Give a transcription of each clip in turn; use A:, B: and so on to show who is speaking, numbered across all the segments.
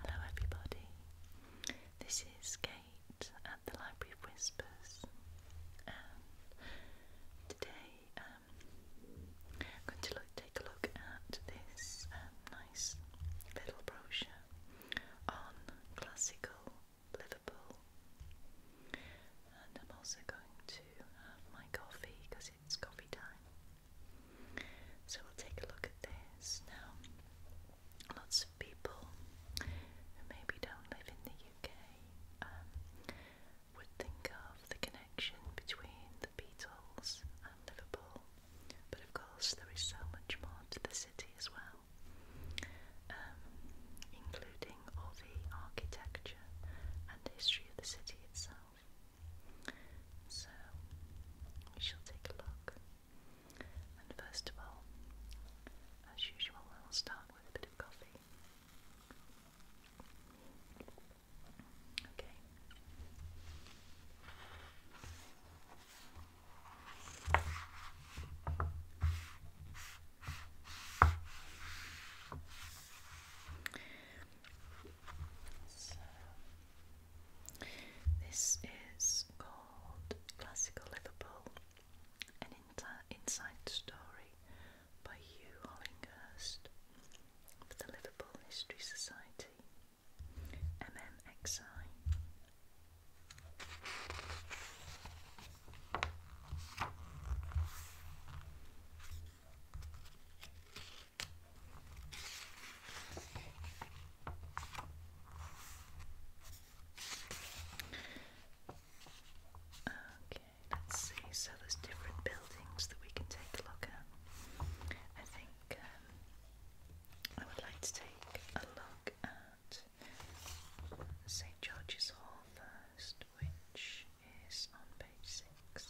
A: Hello, everybody. This is Kate at the Library Whispers, and today um, I'm going to take a look at this um, nice little brochure on classical Liverpool. And I'm also going to have my coffee because it's coffee time. So we'll take a look at this now. Lots of people who maybe don't live in the UK um, would think of the connection between the Beatles and Liverpool, but of course there is so much more to the city as well. Um, including all the architecture and history of the city itself. So we shall take a look. And first of all, as usual, I will start with a bit of coffee. Okay this is called Classical Liverpool, an inside story by Hugh Hollinghurst for the Liverpool History Society, MMXI. Okay, let's see. So there's different buildings that we can take a look at. I think um, I would like to take a look at St George's Hall first, which is on page six.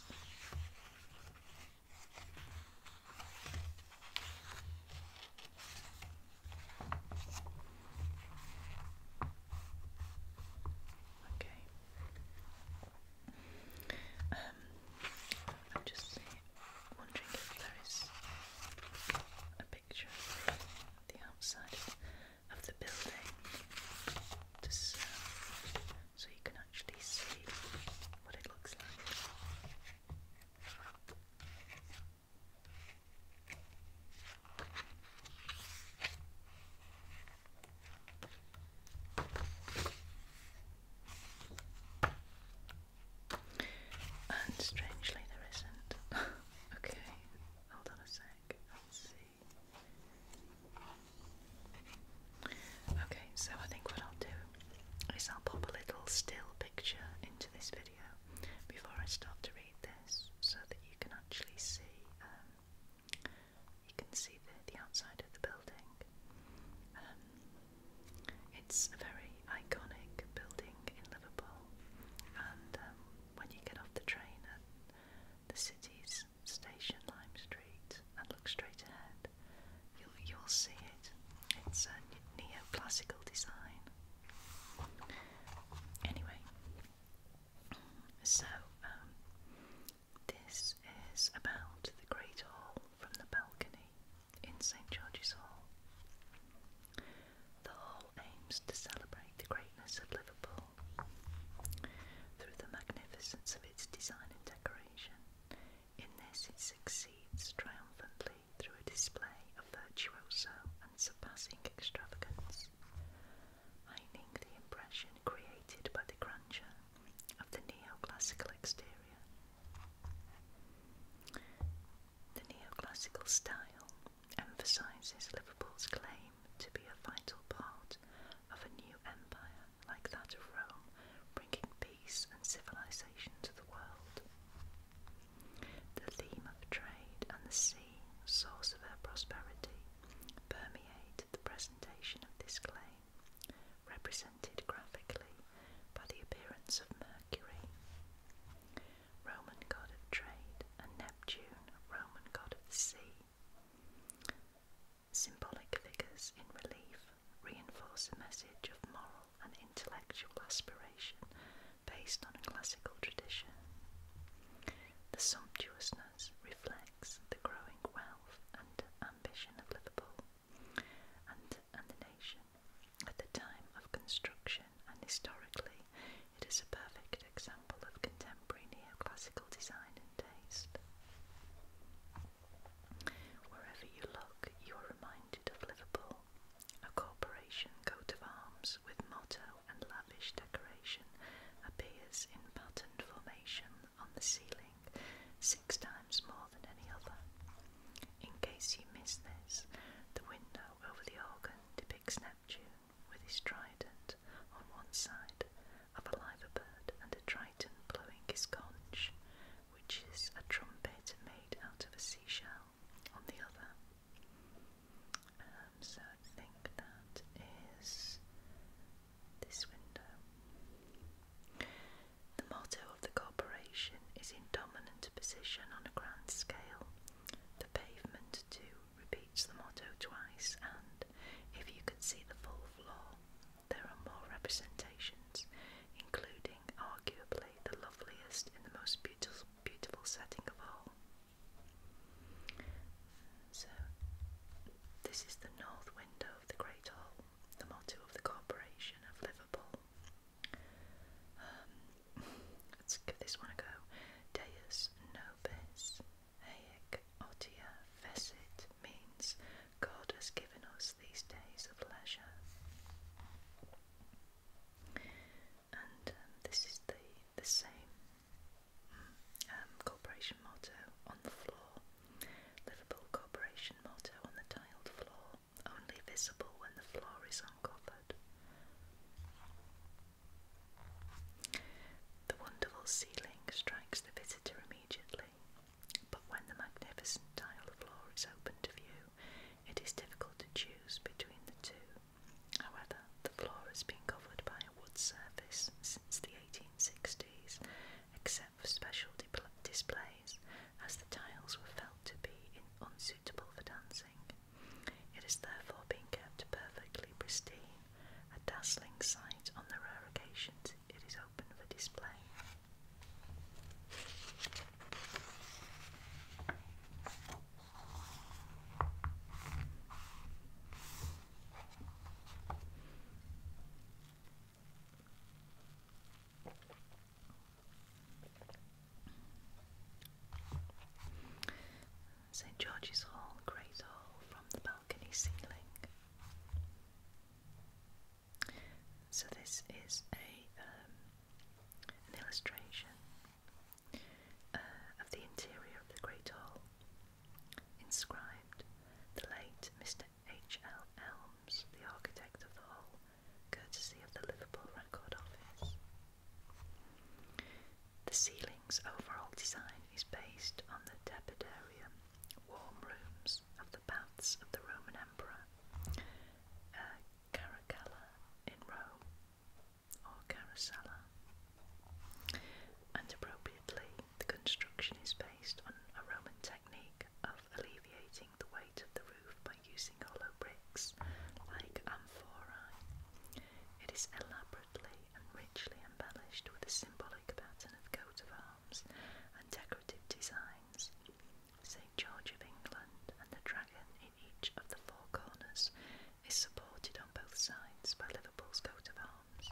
A: Okay. Um, I'm just wondering if there is a picture of the outside of the building, just, uh, so you can actually see what it looks like. And strangely, there isn't. okay, hold on a sec. Let's see. Okay, so I think what I'll do is I'll pop a little still picture into this video before I start to read this so that you can actually see um, you can see the, outside of the building. Um, it's a very iconic building in Liverpool and um, when you get off the train at the city's Station Lime Street and look straight ahead, you'll, you'll see it. It's a neoclassical design. Anyway, so um, this is about the Great Hall from the balcony in St George's Hall. The hall aims to celebrate the greatness of Liverpool through the magnificence of its design and decoration. In this, it succeeds triumphantly through a display of virtuoso and surpassing extravagance, heightening the impression created by the grandeur of the neoclassical exterior. The neoclassical style emphasises Liverpool's claim to be a vital part of a new empire like that of Rome, bringing peace and civilization to the world. The theme of trade and the sea, source of her prosperity, permeate the presentation of this claim, represented graphically by the appearance of Mercury. Roman god of trade and Neptune, Roman god of the sea. Symbolic figures in relief reinforce a message of moral and intellectual aspiration based on a classical tradition. The sumptuousness reflects the growing wealth and ambition of Liverpool and, and the nation. At the time of construction and historically, it is a perfect example of contemporary classical design and taste. Wherever you look, you are reminded of Liverpool, a corporation coat of arms with motto and lavish decoration appears in patterned formation on the ceiling six times more than any other. In case you miss this, the window over the organ depicts Neptune with his trident on one side of a liver bird and a triton blowing his conch, which is a trumpet made out of a seashell, on the other. Um, so I think that is this window. The motto of the corporation is in dominant position on a grand scale. The pavement, too, repeats the motto twice, and if you could see the full floor, there are more representations, including arguably the loveliest and the most beautiful, beautiful setting of all. So, this is the north window of the Great Hall, the motto of the Corporation of Liverpool. Um, let's give this one a go. Deus nobis, haec otia fecit, means God has given us these days of leisure. And um, this is the, the same mm, um, corporation motto on the floor. Liverpool corporation motto on the tiled floor, only visible when the floor is uncovered. The wonderful ceiling strikes the visitor immediately. But when the magnificent tile floor is open to view, it is difficult to choose between the two. However, the floor has been covered by a wood surface since the 1860s, except for special displays, as the tiles were felt to be unsuitable for dancing. It is therefore being kept perfectly pristine, a dazzling sight on the rare occasions it is display. St George's Hall, Great Hall, from the balcony ceiling. So this is a um, an illustration uh, of the interior of the Great Hall, inscribed "The late Mr. H. L. Elms, the architect of the Hall, courtesy of the Liverpool Record Office." The ceiling's overall design is based on the Tepidarium warm rooms of the baths of the Roman Emperor uh, Caracalla in Rome or Caracalla. And appropriately, the construction is based on a Roman technique of alleviating the weight of the roof by using hollow bricks like amphorae. It is elaborately and richly embellished with a symbolic pattern of coat of arms and decorative designs. St. George of England and the dragon in each of the four corners is supported on both sides by Liverpool's coat of arms.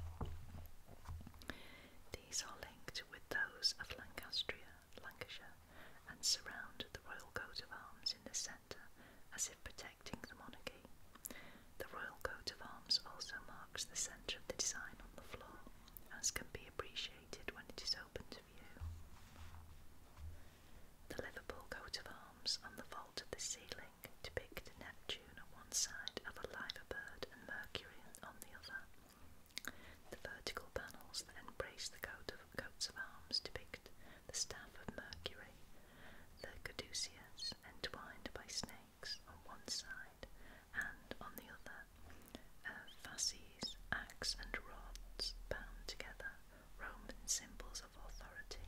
A: These are linked with those of Lancastria, Lancashire, and surround the royal coat of arms in the centre as if protecting the monarchy. The royal coat of arms also marks the centre of the design on the floor, as can be appreciated when it is open to view. The Liverpool coat of arms on the vault of the ceiling depict Neptune on one side of a liver bird and Mercury on the other. The vertical panels that embrace the coat of arms depict the staff of Mercury, the caduceus entwined by snakes on one side and on the other uh, fasces, axe, and rods bound together, Roman symbols of authority.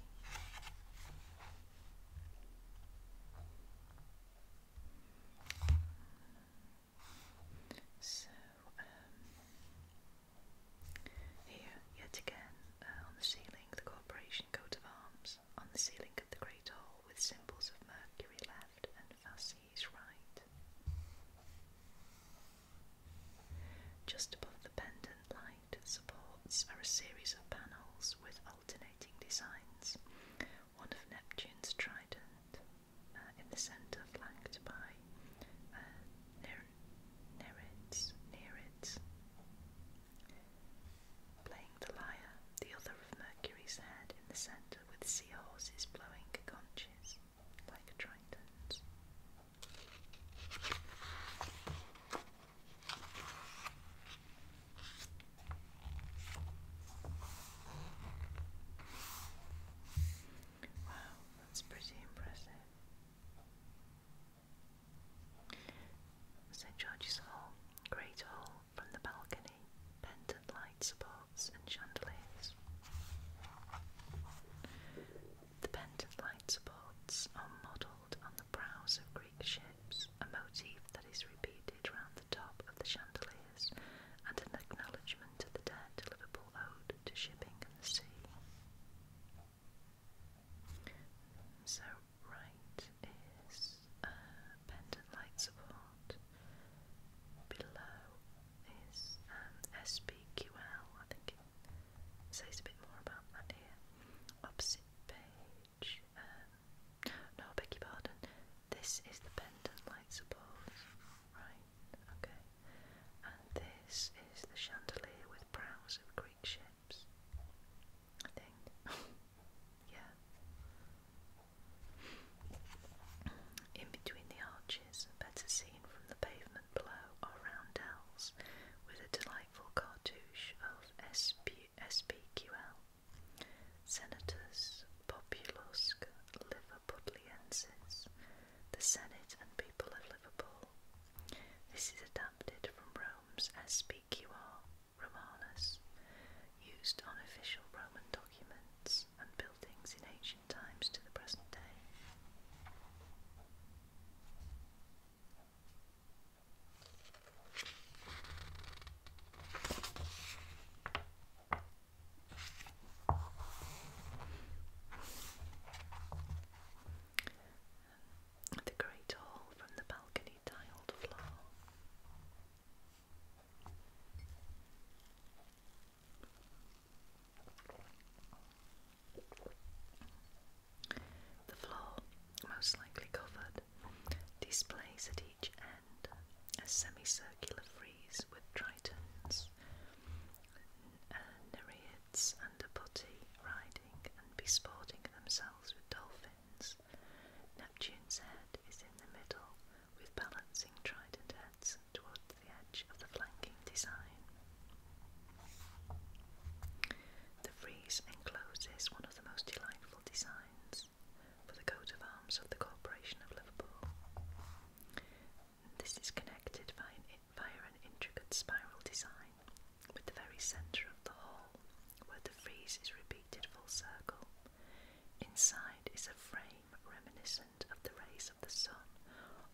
A: So, um, here, yet again, uh, on the ceiling, the corporation coat of arms, on the ceiling of the great hall, with symbols of Mercury left and fasces. Just above the pendant light supports are a series of panels with alternating designs, one of Neptune's trident uh, in the centre, flanked by uh, Nereids, Nereids playing the lyre, the other of Mercury's head in the centre with seahorses blowing conches like tritons. Wow, that's pretty impressive. St. George's Hall, Great Hall, from the balcony, pendant light supports and chandeliers. The pendant light supports are modelled on the prows of Greek ships, a motif that is repeated round the top of the chandeliers and an acknowledgement of the dead Liverpool ode to shipping and the sea. So right is uh, pendant light support below is um, SPQL. I think says a bit more about that here. Opposite page. Um, no, beg your pardon. This is the pendant light support. Right, okay. And this is the chandelier with prows of Greek ships. I think. yeah. In between the arches, better seen from the pavement below, are roundels with a delightful cartouche of SP SPQL, Senatus Liverpudliensis, the Senate and People of Liverpool. This is adapted from Rome's SPQR Romanus, used on official Roman documents and buildings in ancient times to the present day. The great hall from the balcony tiled floor. The floor, most likely covered, displays at each end a semicircular frieze with tritons, uh, nereids, and a putti riding and besporting themselves with dolphins. Neptune's head is in the middle with balancing trident heads towards the edge of the flanking design. The frieze encloses one of the most delightful designs for the coat of arms of the Corporation of Liverpool. This is connected by an, via an intricate spiral design with the very centre of the hall, where the frieze is repeated full circle. Inside is a frame reminiscent of the rays of the sun,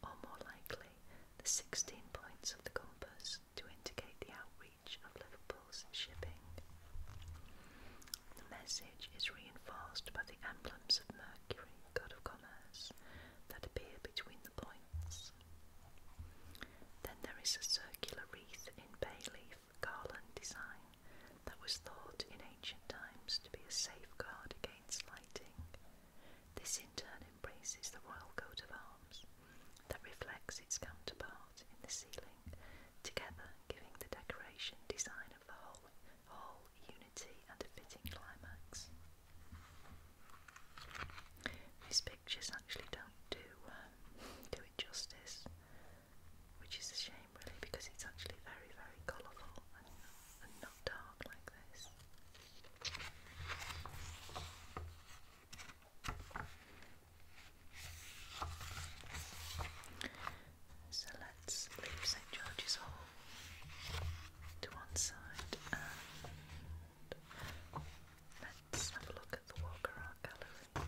A: or more likely, the 16 points of the compass to indicate the outreach of Liverpool's shipping. The message is reinforced by the emblems of Mercury, god of commerce, that appear between the points. Then there is a circular wreath in bay leaf garland design that was thought in ancient times to be a safeguard against lighting. This in turn embraces the royal coat of arms that reflects its counterpart in the ceiling, together giving the decoration design of the whole whole unity and a fitting climax. These pictures actually don't do um, do it justice which is a shame really because it's actually very very colourful and, not dark like this. So let's leave St George's Hall to one side and let's have a look at the Walker Art Gallery.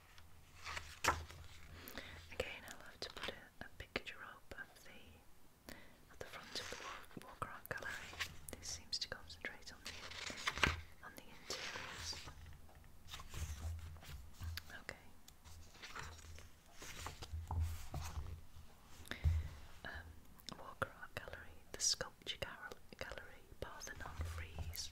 A: Again, I'll to put a, a picture of the at the front of the walk around gallery. This seems to concentrate on the on the interiors. Okay. Um, Walker Art Gallery, the Sculpture Gallery, Parthenon Frieze.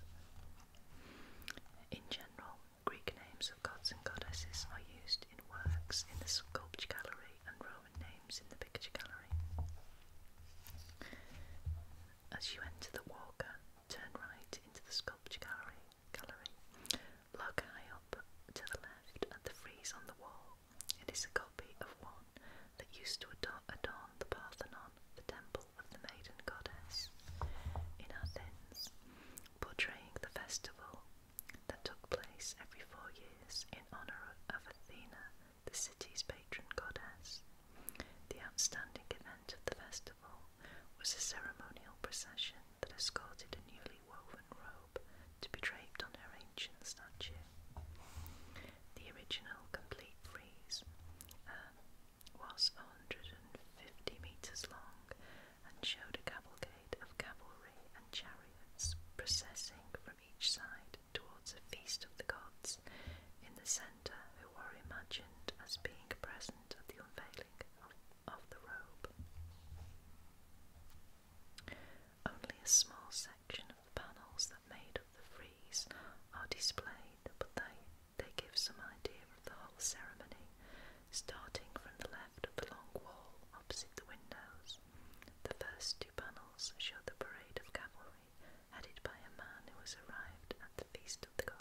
A: In general, Greek names of gods and goddesses are used in works in the sculpture gallery and Roman names in the picture gallery. As you enter the walk, turn right into the sculpture gallery, gallery. Look high up to the left at the frieze on the wall. It is a copy of one that used to adorn, adorn the Parthenon, the temple of the maiden goddess in Athens portraying the festival that took place every four years in honour of Athena, the city's patron goddess. The outstanding event of the festival was a ceremonial procession that escorted a newly woven robe to be draped on her ancient statue. The original complete frieze, was 150 metres long and showed a cavalcade of cavalry and chariots processing from each side towards a feast of the gods in the centre who were imagined as being present at the unveiling of, of the robe. Only a small section of the panels that made up the frieze are displayed, but they they give some idea of the whole ceremony, starting from the left of the long wall opposite the windows. The first two panels show the parade of cavalry headed by a man who was arrived at the Feast of the Gods.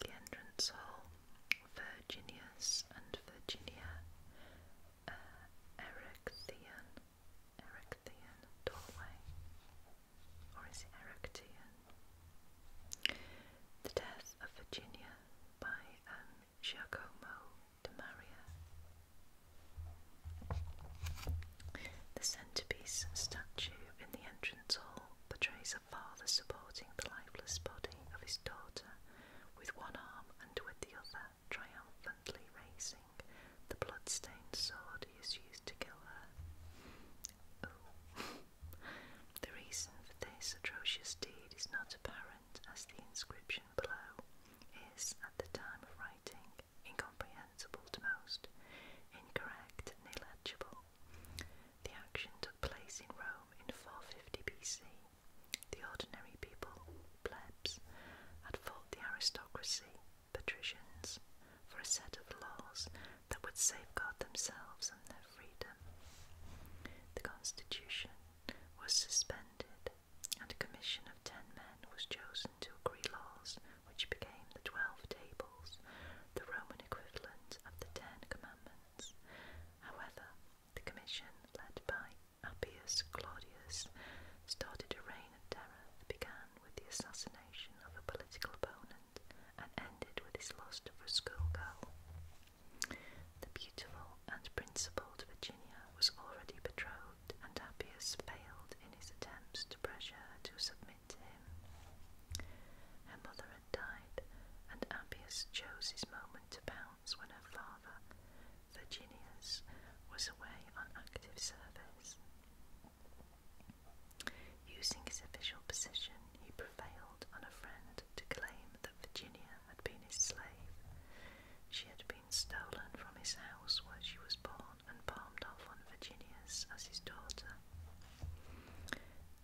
A: The entrance hall, Virginius and Virginia uh, Erechtheian, doorway, or is it Erechtheian? The Death of Virginia by um, Giacomo de Maria. The centerpiece statue in the entrance hall portrays a father supporting the lifeless body of his daughter with one arm and with the other triumphantly racing. The blood-stained sword he has used to kill her. Oh. the reason for this atrocious deed is not apparent, as the inscription below is, at the time of writing, incomprehensible to most, incorrect and illegible. The action took place in Rome in 450 BC the ordinary people, plebs, had fought the aristocracy, patricians, for a set of laws that would safeguard themselves and their freedom. The constitution was suspended, and a commission of ten men was chosen to agree laws which became the Twelve Tables, the Roman equivalent of the Ten Commandments. However, the commission, led by Appius Claudius started a reign of terror that began with the assassination of a political opponent and ended with his loss of a schoolgirl. The beautiful and principled Virginia was already betrothed, and Appius failed in his attempts to pressure her to submit to him. Her mother had died, and Appius chose his moment to bound when her father, Virginius, was away on active service. Using his official position, he prevailed on a friend to claim that Virginia had been his slave. She had been stolen from his house where she was born and palmed off on Virginius as his daughter.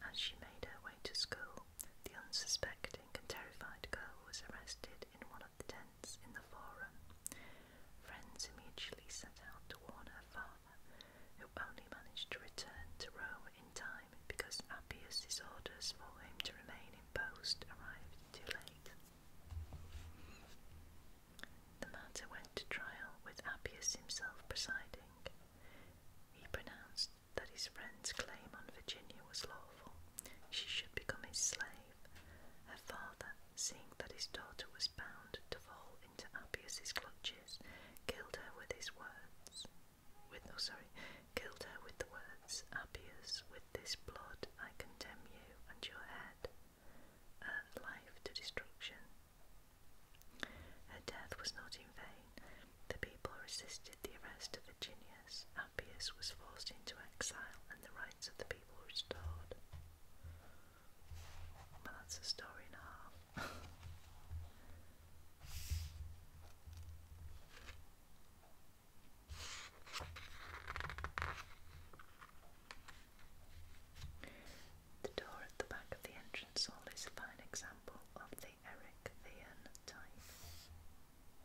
A: As she made her way to school, the unsuspecting and terrified girl was arrested in one of the tents in the forum. Friends immediately set out to warn her father, who only managed to return to Rome in time because Appius's orders for him to remain in post arrived too late. The matter went to trial with Appius himself presiding. He pronounced that his friend's claim on Virginia was lawful, she should become his slave. Her father, seeing that his daughter was bound to fall into Appius's clutches, killed her with his words. With oh sorry, killed her with the words, Appius, with this blood I condemn you and your head, her life to destruction. Her death was not in vain. The people resisted the arrest Appius was forced into exile and the rights of the people restored. Well, that's a story and The door at the back of the entrance hall is a fine example of the Erechtheian type.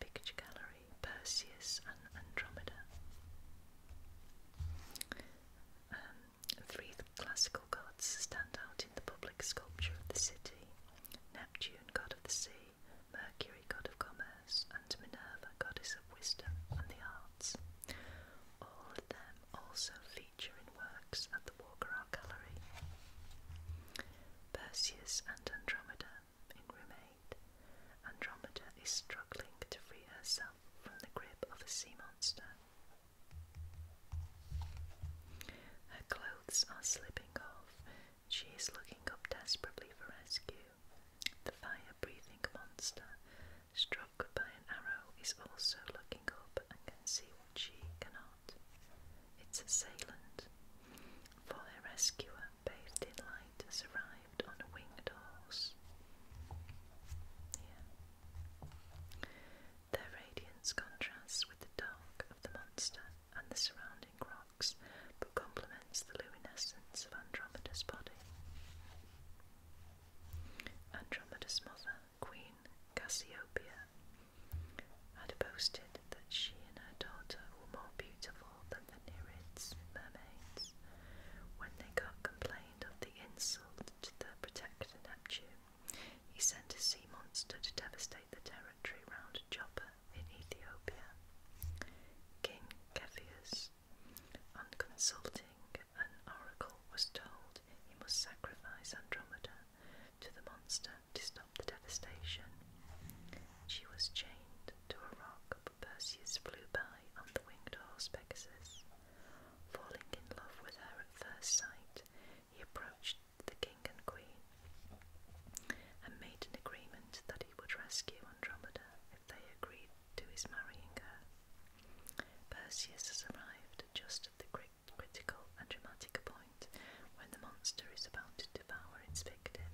A: Picture Gallery, Perseus and Andromeda. Um, three classical gods stand out in the public sculpture of the city Neptune, god of the sea, Mercury, god of commerce, and Minerva, goddess of wisdom and the arts. All of them also feature in works at the Walker Art Gallery. Perseus and Andromeda in room Andromeda is struggling to free herself from the grip of a sea monster. Her clothes are slipping off. She is looking up desperately for rescue. The fire breathing monster, struck by an arrow, is also looking up and can see what she cannot. Its assailant. For her rescuer, posted lighters arrived on a winged horse. Yeah. radiance contrasts with the dark of the monster and the surrounding rocks, but complements the luminescence of Andromeda's body. Andromeda's mother, Queen Cassiopeia, had opposed that she and her daughter were more beautiful than the Nereids mermaids when they got complained of the insult to their protector Neptune. He sent a sea monster to devastate the territory round Joppa in Ethiopia. King Cepheus, on consulting an oracle, was told he must sacrifice Andromeda to the monster to stop the devastation. She was chained to a rock Perseus flew by on the winged horse Pegasus. Falling in love with her at first sight, he approached the king and queen and made an agreement that he would rescue Andromeda if they agreed to his marrying her. Perseus has arrived just at the critical and dramatic point when the monster is about to devour its victim.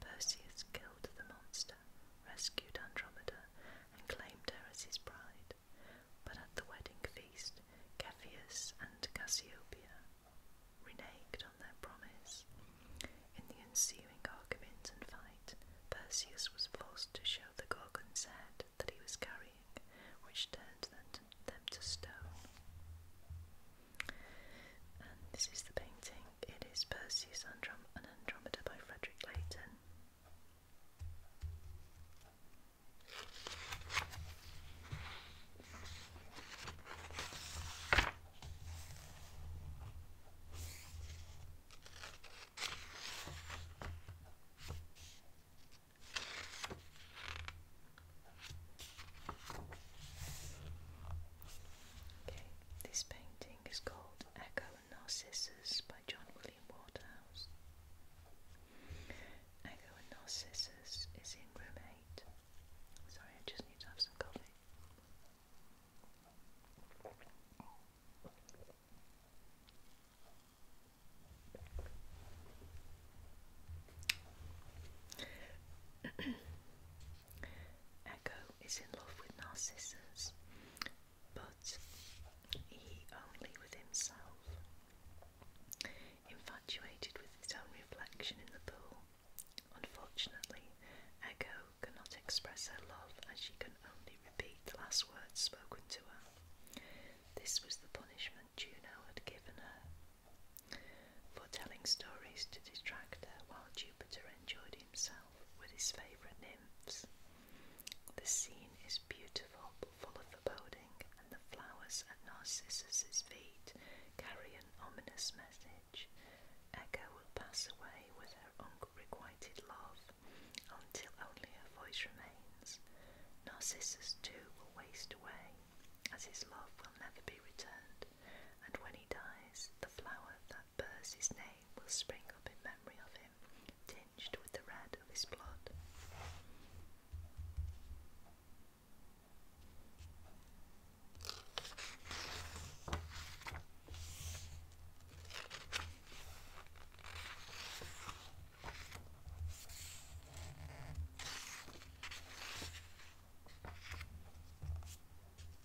A: Perseus killed the monster, rescued Andromeda, and claimed her as his bride. But at the wedding feast, Cepheus and Cassiopeia reneged on their promise. In the ensuing argument and fight, Perseus was forced to show the Gorgon's head that he was carrying, which turned them to stone. And this is the painting. It is Perseus Androm and Andromeda by Frederick Leighton. Okay, this painting is called Echo and Narcissus by John William Waterhouse. Echo and Narcissus is in room 8. Sorry, I just need to have some coffee. Echo is in love with Narcissus, but he only with himself, infatuated with his own reflection in the pool. Unfortunately, Echo cannot express her love as she can only repeat the last words spoken to her. This was the punishment Juno had given her for telling stories to distract her while Jupiter enjoyed himself with his favourite nymphs. The scene is beautiful full of foreboding, and the flowers at Narcissus's feet carry an ominous message. Echo will pass away with her unrequited love until only her voice remains. Narcissus too will waste away, as his love will never be returned and when he dies, the flower that bears his name will spring up in memory of him, tinged with the red of his blood.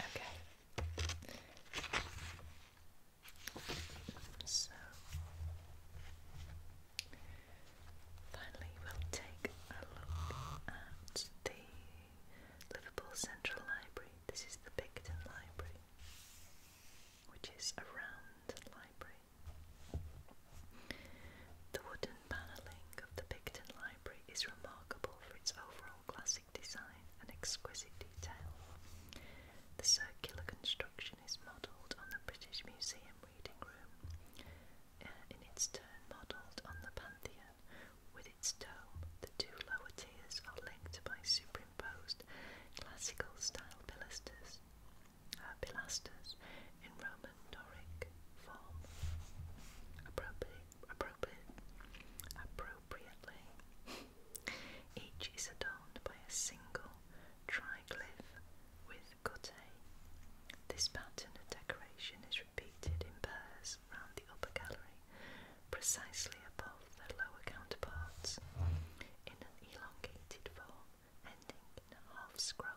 A: Okay. So finally, we'll take a look at the Liverpool Central Library. This is the Picton Library which is around the library. The wooden panelling of the Picton Library is remarkable for its overall classic design and exquisite detail. The circular construction is modelled on the British Museum reading room, uh, in its turn modelled on the Pantheon. With its dome, the two lower tiers are linked by superimposed classical style pilasters, uh, pilasters in Roman Doric form, appropriate, appropriate, appropriately. Each is adorned by a single triglyph with guttae. This pattern of decoration is repeated in pairs around the upper gallery precisely above their lower counterparts, in an elongated form ending in a half scroll.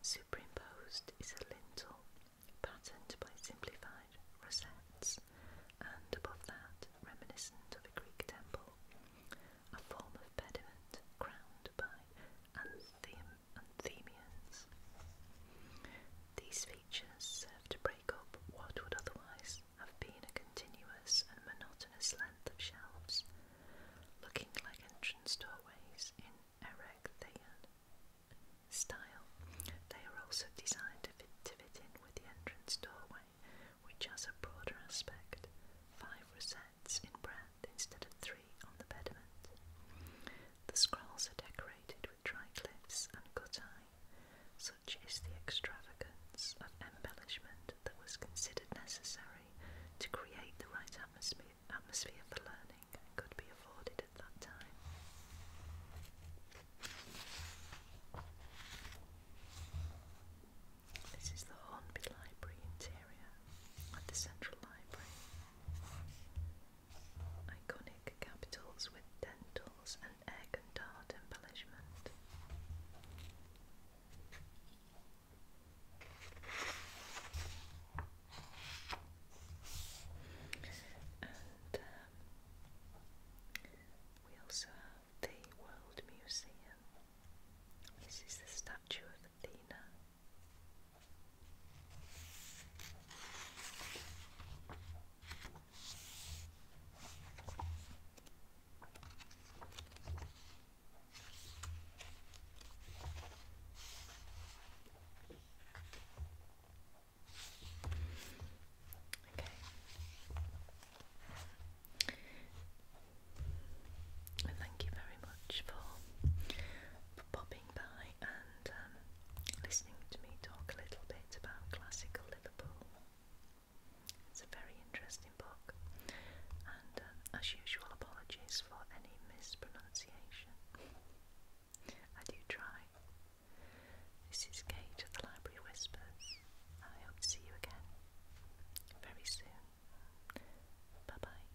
A: Superimposed is a lintel patterned by simplified rosettes, and above that, reminiscent of a Greek temple, a form of pediment crowned by Anthem Anthemians. These features serve to break up what would otherwise have been a continuous and monotonous length of shelves, looking like entrance doorways in Erechtheian style. They are also designed to fit, in with the entrance doorway, which has a broader aspect, five recesses in breadth instead of three on the pediment. The scrolls are decorated with triglyphs and guttae. Such is the extravagance of embellishment that was considered necessary to create the right atmosphere, for learning that could be afforded at that time. This is the Hornby Library interior at the Central Library. Iconic capitals with dentals and egg and dart embellishment. And um, we also have the World Museum. This is the statue of Athena Okay. thank you very much for, for popping by and um, listening to me talk a little bit about classical Liverpool. It's a very interesting book, and um, as usual, apologies for any mispronunciation. I do try. This is Kate of the Library Whispers. I hope to see you again very soon. Bye bye.